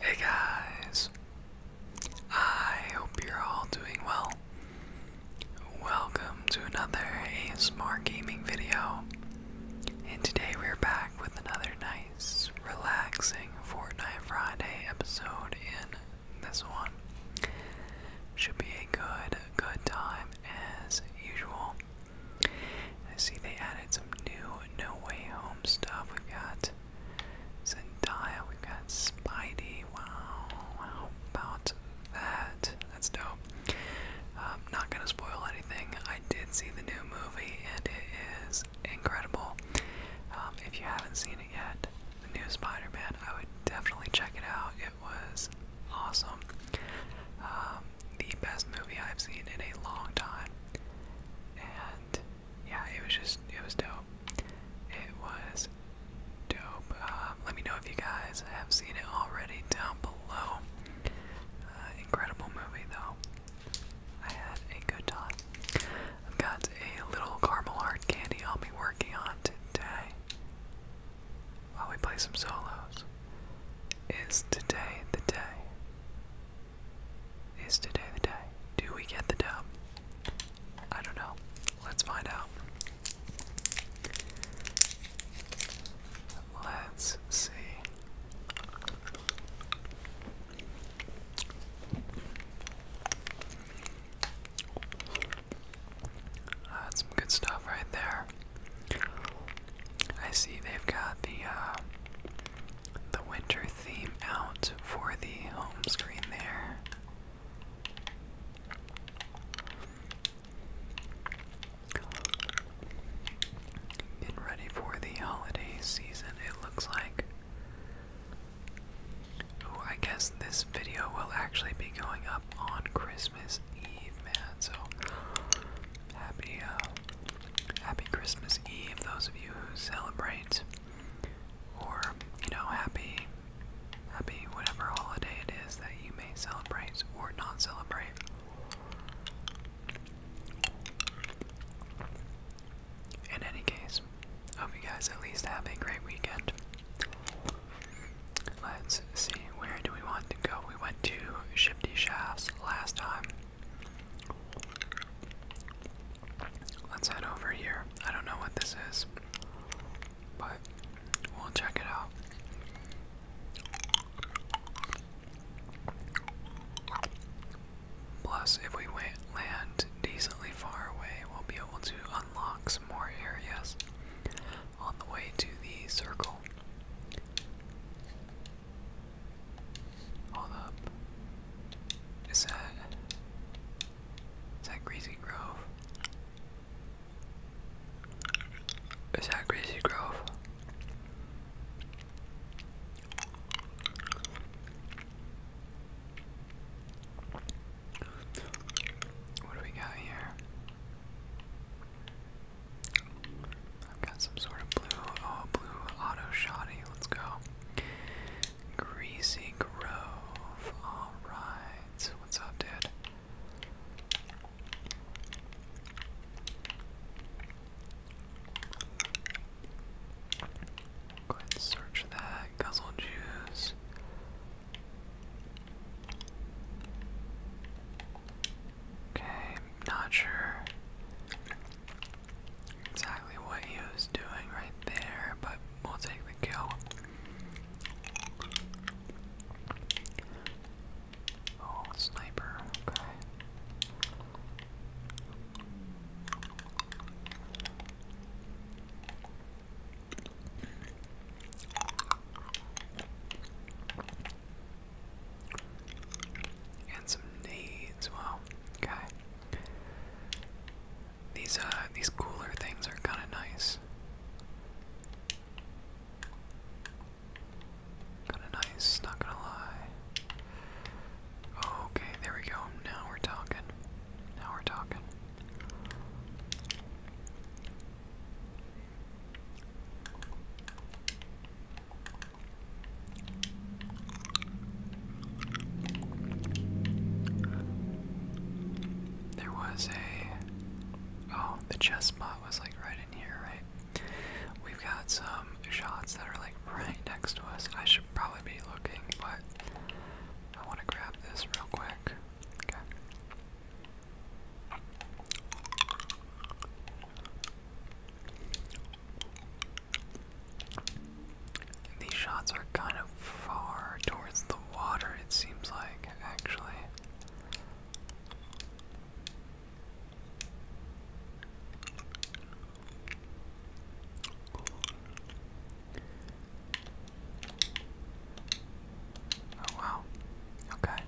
Hey guys! I hope you're all doing well. Welcome to another ASMR gaming video. And today we're back with another nice, relaxing Fortnite Friday episode in this one. Should be a good, good time as usual. I see they added some new No Way Home stuff. We've got Zendaya, we got Spidey. Wow, how about that? That's dope. Um, not gonna spoil anything. I did see the new movie and it is incredible. Um, if you haven't seen it yet, the new Spider-Man, I would definitely check it out. It was awesome. Um, the best movie I've seen in a long time yeah, it was just it was dope. It was dope. Um, let me know if you guys have seen it already down below. Uh, incredible movie though. I had a good time. I've got a little caramel hard candy I'll be working on today while we play some solos. Is today the day? Is today the day? Do we get the dub? I don't know. Let's find out. Let's see. That's some good stuff right there. I see they've got the uh, the winter theme out for the home screen there. Getting ready for the holiday season, it looks like. Oh, I guess this video will actually be going up on Christmas Eve, man. So happy uh, Happy Christmas Eve, those of you who celebrate, or you know, happy, happy whatever holiday it is that you may celebrate or not celebrate. In any case, hope you guys at least have a great weekend. Let's see, where do we want to go? We went to Shifty Shafts last time. Let's head over here. I don't know what this is, but we'll check it out. Plus, if we land decently far away, we'll be able to unlock some more areas on the way to the circle. Hold up. Is that Is that Crazy Grove? Is that Greasy Grove? What do we got here? I've got some sort of blue, oh, blue auto shoddy. Let's go. Greasy Grove. Alright. What's up, dude? Go search that. Guzzle juice. Okay, not sure exactly what he was doing right there, but we'll take the kill. Oh, sniper, okay. And some nades. Wow. Okay. These uh these cooler things are kinda nice. Kinda nice, not gonna lie. Okay, there we go. Now we're talking. Now we're talking. There was a. Oh, the chest spot was like right in here, right? We've got some shots that are like right next to us. I should probably be looking, but I want to grab this real quick. Okay. These shots are kind of far towards the water, it seems like, actually. Oh wow. Okay.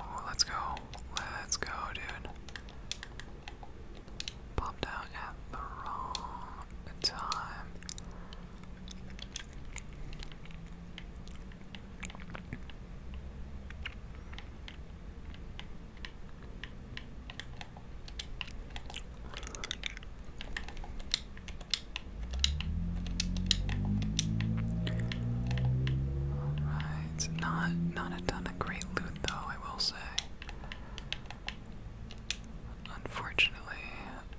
Oh, let's go. Let's go, dude. Popped out at the wrong time. Alright, not not a ton of great loot though, I will say. Unfortunately,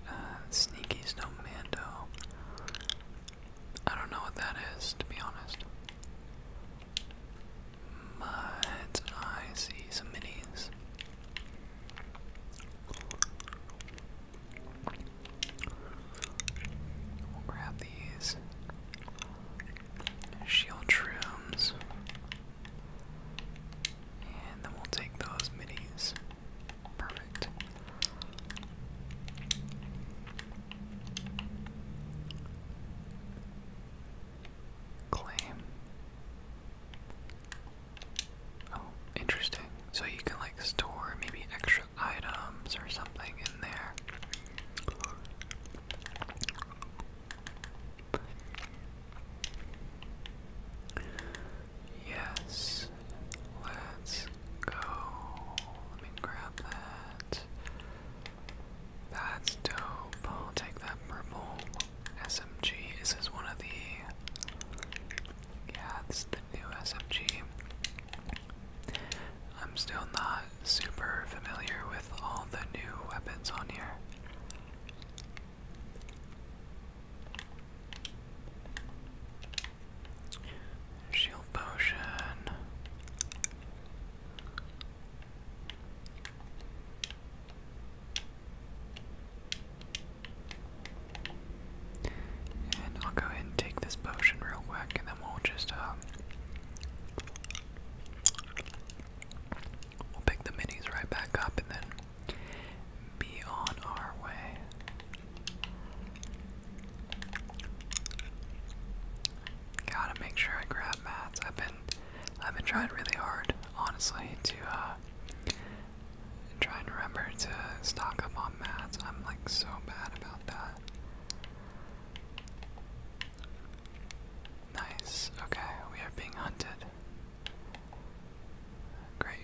uh, sneaky's no mando. I don't know what that is, to be honest. But I see some minis. We'll grab these shield shrooms. And then we'll take those minis. Perfect. Claim. Oh, interesting. So you can like store maybe extra items or something in there. Yes, let's go. Let me grab that. That's dope. I'll take that purple. SMG. This is one of the. Yeah, it's the new SMG. am still not super familiar with all the new weapons on here. Shield potion. And I'll go ahead and take this potion real quick, and then we'll just, um, pick the minis right back up, and then be on our way. Gotta make sure I grab mats. I've been trying really hard, honestly, to uh, try and remember to stock up on mats. I'm like so bad about that. Nice. Okay, we are being hunted. Great.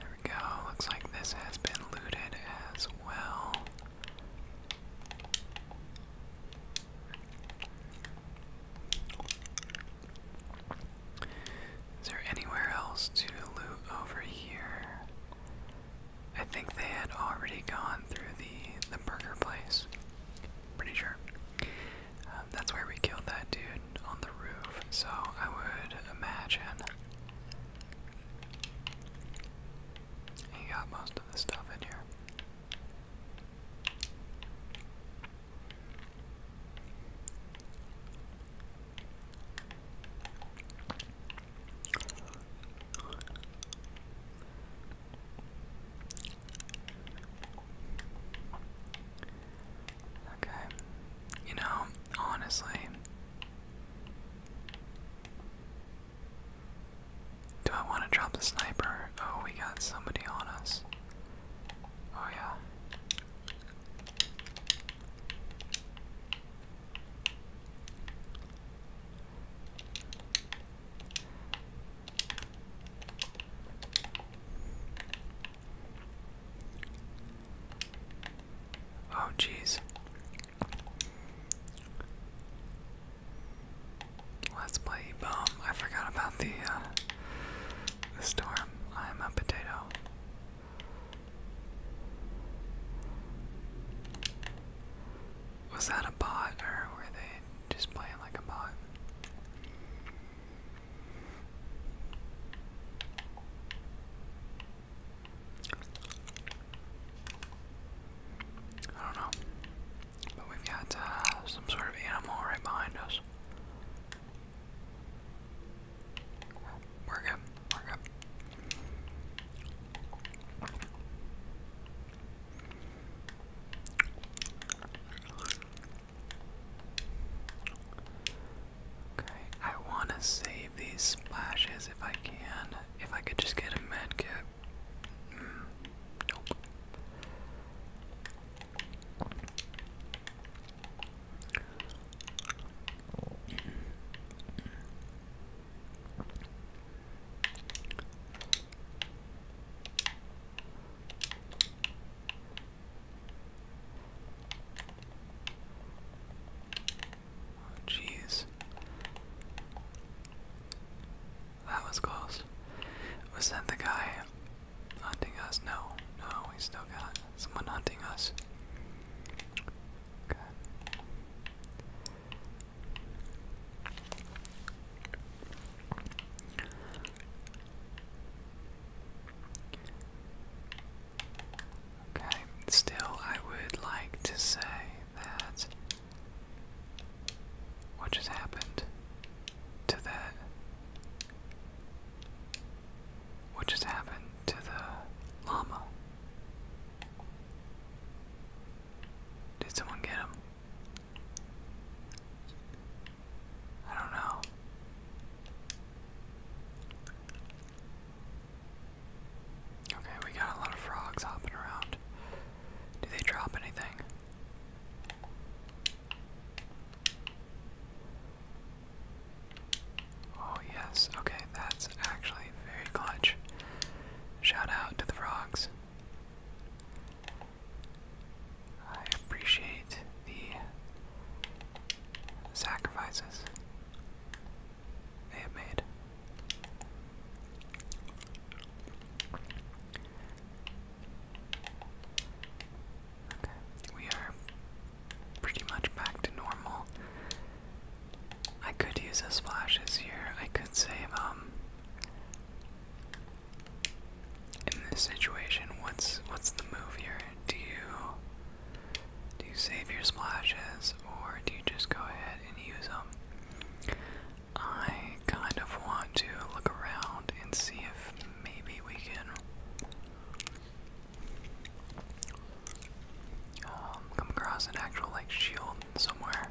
There we go. Looks like this has been looted as well. Is there anywhere else to loot over here? I think they had already gone through the the burger place. Pretty sure. Um, that's where we killed that dude on the roof. So I would imagine he got most of the stuff in here. Okay. You know, honestly, do I want to drop the sniper? Oh, we got somebody on us. Oh, yeah. Oh, jeez. Let's play bomb. I forgot about the uh, the storm. I'm a potato. Was that a bot or were they just playing like a bot? I don't know. But we've got uh, some sort of animal right behind us. We're good. We're good. Okay, I want to save these splashes if I can. If I could just get a med kit. Hmm, Jeez. That was close. Was that the guy hunting us? No, no, we still got someone hunting us. Okay. Okay, still, I would like to say that what just happened to that. What just happened to the llama? Did someone get him? I don't know. Okay, we got a lot of frogs hopping around. Do they drop anything? Oh yes, okay, that's actually very clutch. Shout out to the frogs. I appreciate the sacrifices they have made. Okay, we are pretty much back to normal. I could use a splashes here. I could save um in this situation what's what's the move here? Do you do you save your splashes or do you just go ahead and use them? I kind of want to look around and see if maybe we can um, come across an actual like shield somewhere.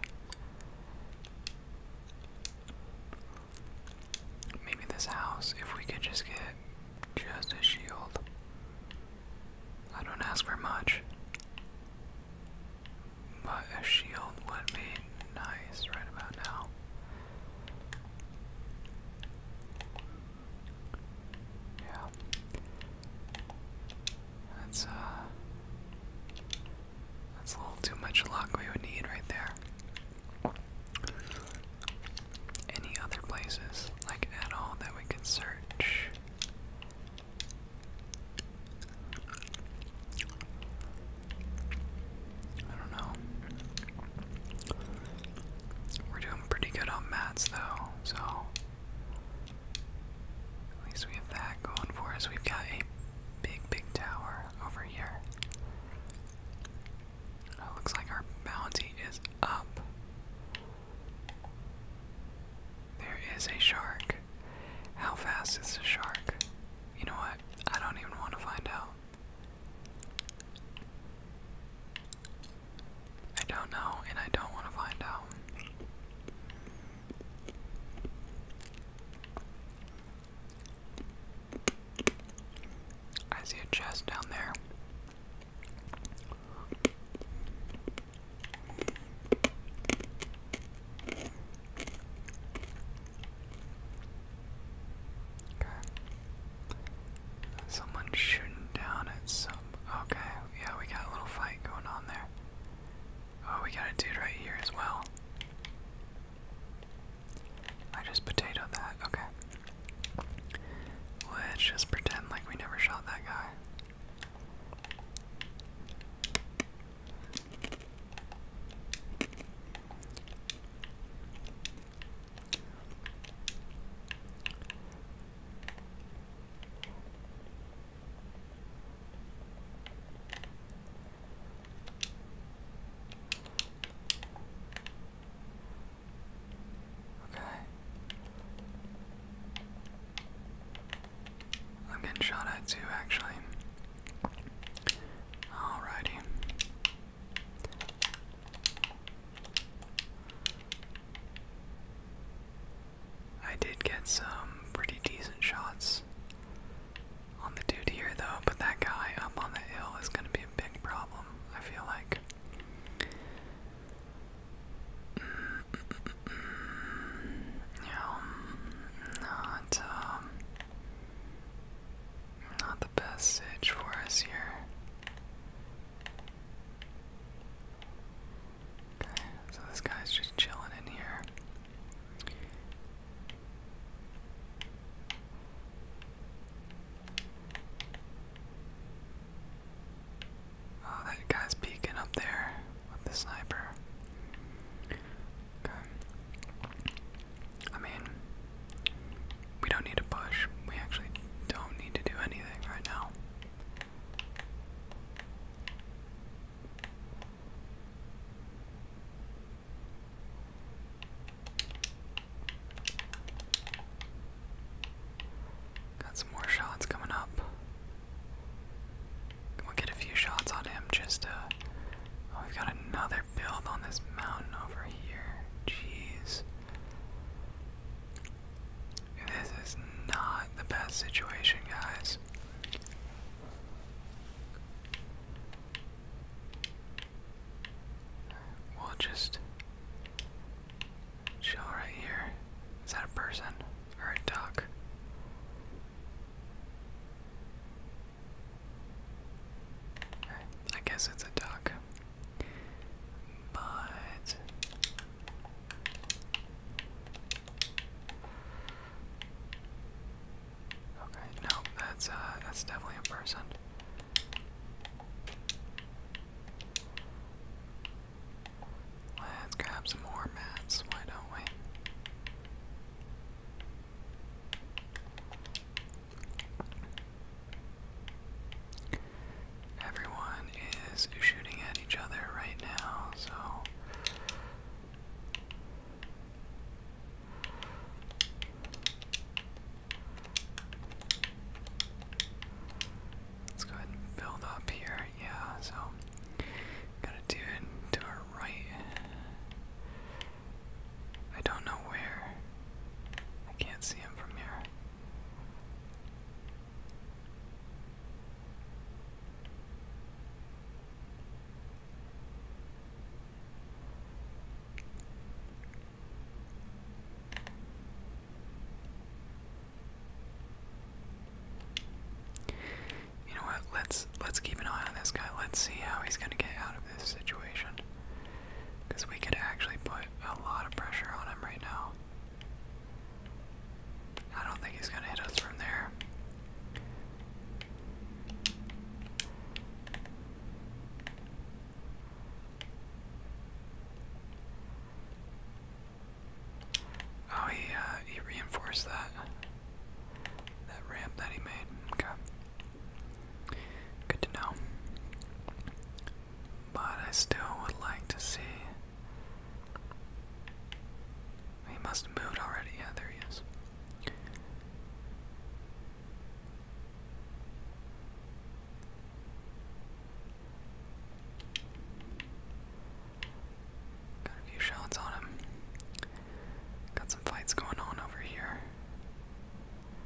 Maybe this house, if we could just get just a shield. I don't ask for much. But a shield would be nice right about now. Yeah. That's, uh. That's a little too much luck we would need right there. Any other places, like at all, that we could search? I don't know. We're doing pretty good on mats though, so at least we have that going for us. We've got a big, big tower over here. Oh, looks like our bounty is up. There is a shark. How fast is the shark? You know what? I don't even want to find out. I don't know, and I don't want to find out. I see a chest down there. Someone shooting down at some Okay, yeah, we got a little fight going on there. Oh, we got a dude right here as well. I just potatoed that. Okay. Let's just pretend like we never shot that guy. Okay. I'm getting shot at too, actually. Alrighty. I did get some pretty decent shots on the dude here, though, but that guy up on the hill is going to be a big problem, I feel like. Mm, mm, mm, yeah, um, not, um, not the best sitch for us here. Okay, so this guy's just chilling in here. Oh, that guy's peeking up there with the sniper. Okay. I mean, we don't need to push. We actually don't need to do anything right now. Got some more shots coming up. We'll get a few shots on him just to. Uh, oh, we've got another build on this mountain over here. Jeez. This is not the best situation, guys. We'll just chill right here. Is that a person or a duck? I guess it's a duck. But okay, no, that's uh, that's definitely a person. Let's grab some more mats. Why don't we? Everyone is shooting at each other right now, so. Let's go ahead and build up here. Yeah, so got a dude to our right. I don't know where. I can't see him from here. You know what? Let's let's keep an eye on this guy. Let's see how he's gonna get out of this situation. Because we could actually put a lot of pressure on him right now. I don't think he's going to hit us from there. Oh, he, uh, he reinforced that. That ramp that he made. Okay. Good to know but I still would like to see. He must have moved already. Yeah, there he is. Got a few shots on him. Got some fights going on over here.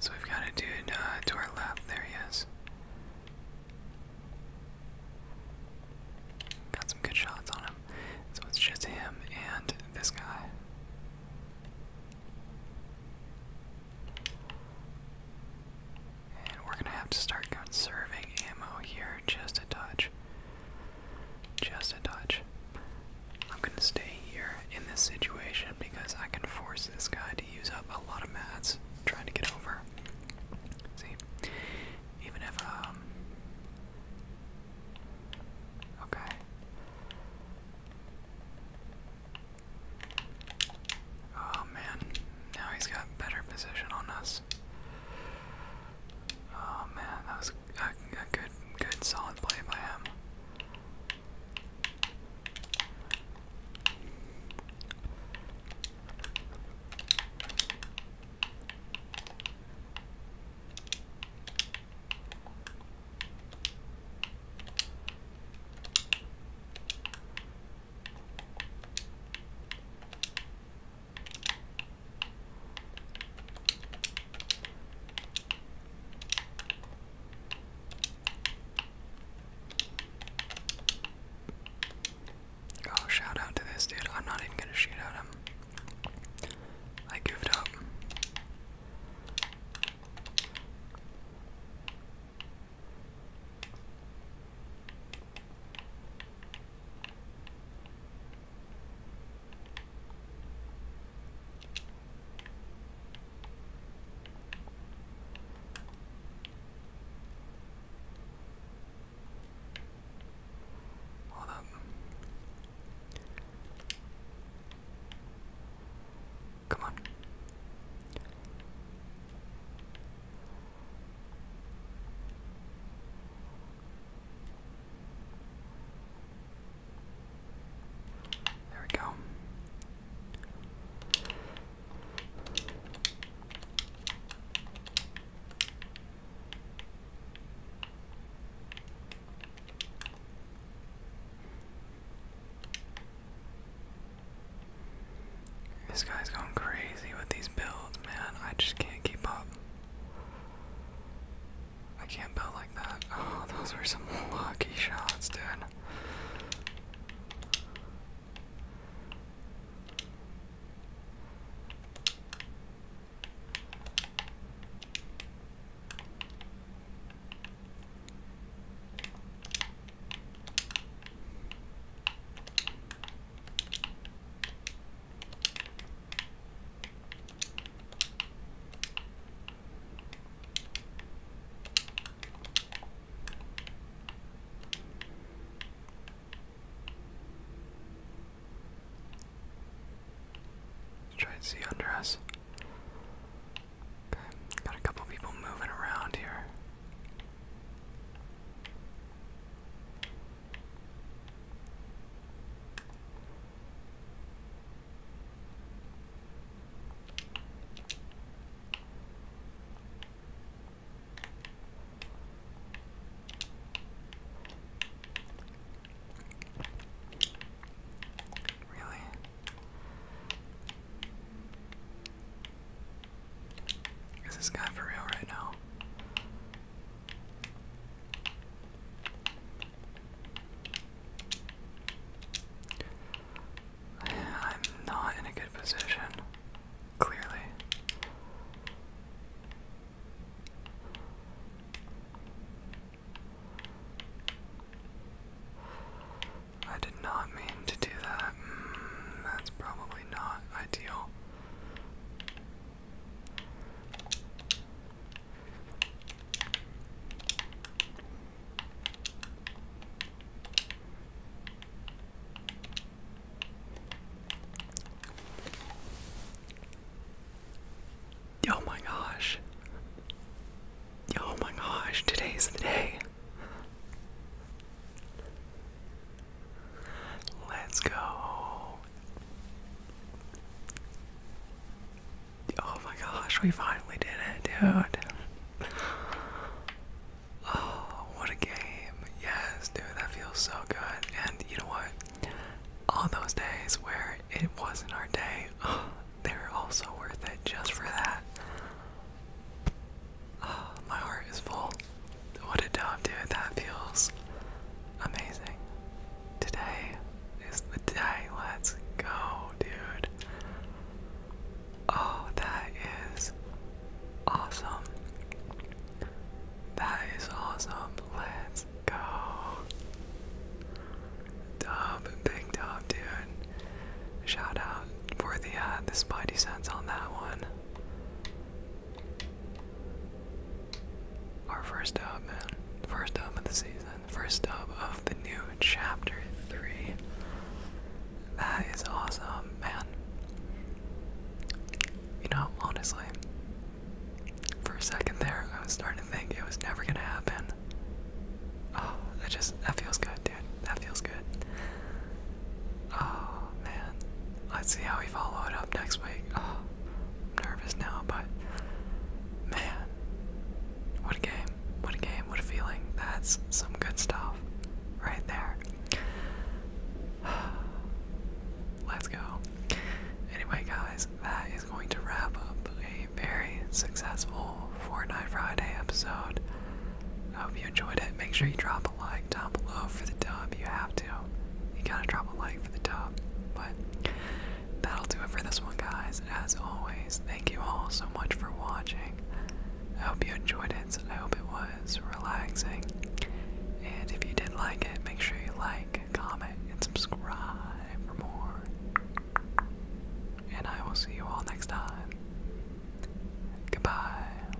So we've got a dude uh, to our left. There he is. Got some good shots on him. So it's just him and this guy. And we're gonna have to start conserving ammo here just a touch. Just a touch. I'm gonna stay here in this situation because I can force this guy to use up a lot of mats trying to get over. See? Even if, um, Okay. Oh man, now he's got better position on us. Oh man, that was a, good, good, solid play by him. Oh, shout out to this dude. I'm not even gonna shoot at him. I goofed up. Hold up. Come on. There we go. This guy's going crazy with these builds, man. I just can't keep up. I can't build like that. Oh, those were some lucky shots, dude. Try and see under us. Okay, got a couple people moving around here. Really? Is this guy for real right now? I'm not in a good position, clearly. I did not mean to do that. Mm, that's probably not ideal. Oh my gosh. Oh my gosh, today's the day. Let's go. Oh my gosh, we finally did it, dude. Oh, what a game. Yes, dude, that feels so good. And you know what? All those days where it wasn't our day, oh, they were also worth it just for that. Oh, my heart is full. What a job, dude. That feels amazing. Today is the day. Let's go, dude. Oh, that is awesome. That is awesome. Let's go. Dub, big dub, dude. Shout out for the uh, the spidey sense on that one. Our first dub, man. First dub of the season. First dub of the new chapter 3. That is awesome, man. You know, honestly, for a second there, I was starting to think it was never gonna happen. Oh, that just, that feels good, dude. That feels good. Oh, man. Let's see how we follow it up next week. Oh, nervous now, but man, what a game! What a game! What a feeling! That's some good stuff right there. Let's go. Anyway, guys, that is going to wrap up a very successful Fortnite Friday episode. I hope you enjoyed it. Make sure you drop like down below for the dub. You have to. You gotta drop a like for the dub. But that'll do it for this one, guys. As always, thank you all so much for watching. I hope you enjoyed it. I hope it was relaxing. And if you did like it, make sure you like, comment, and subscribe for more. And I will see you all next time. Goodbye.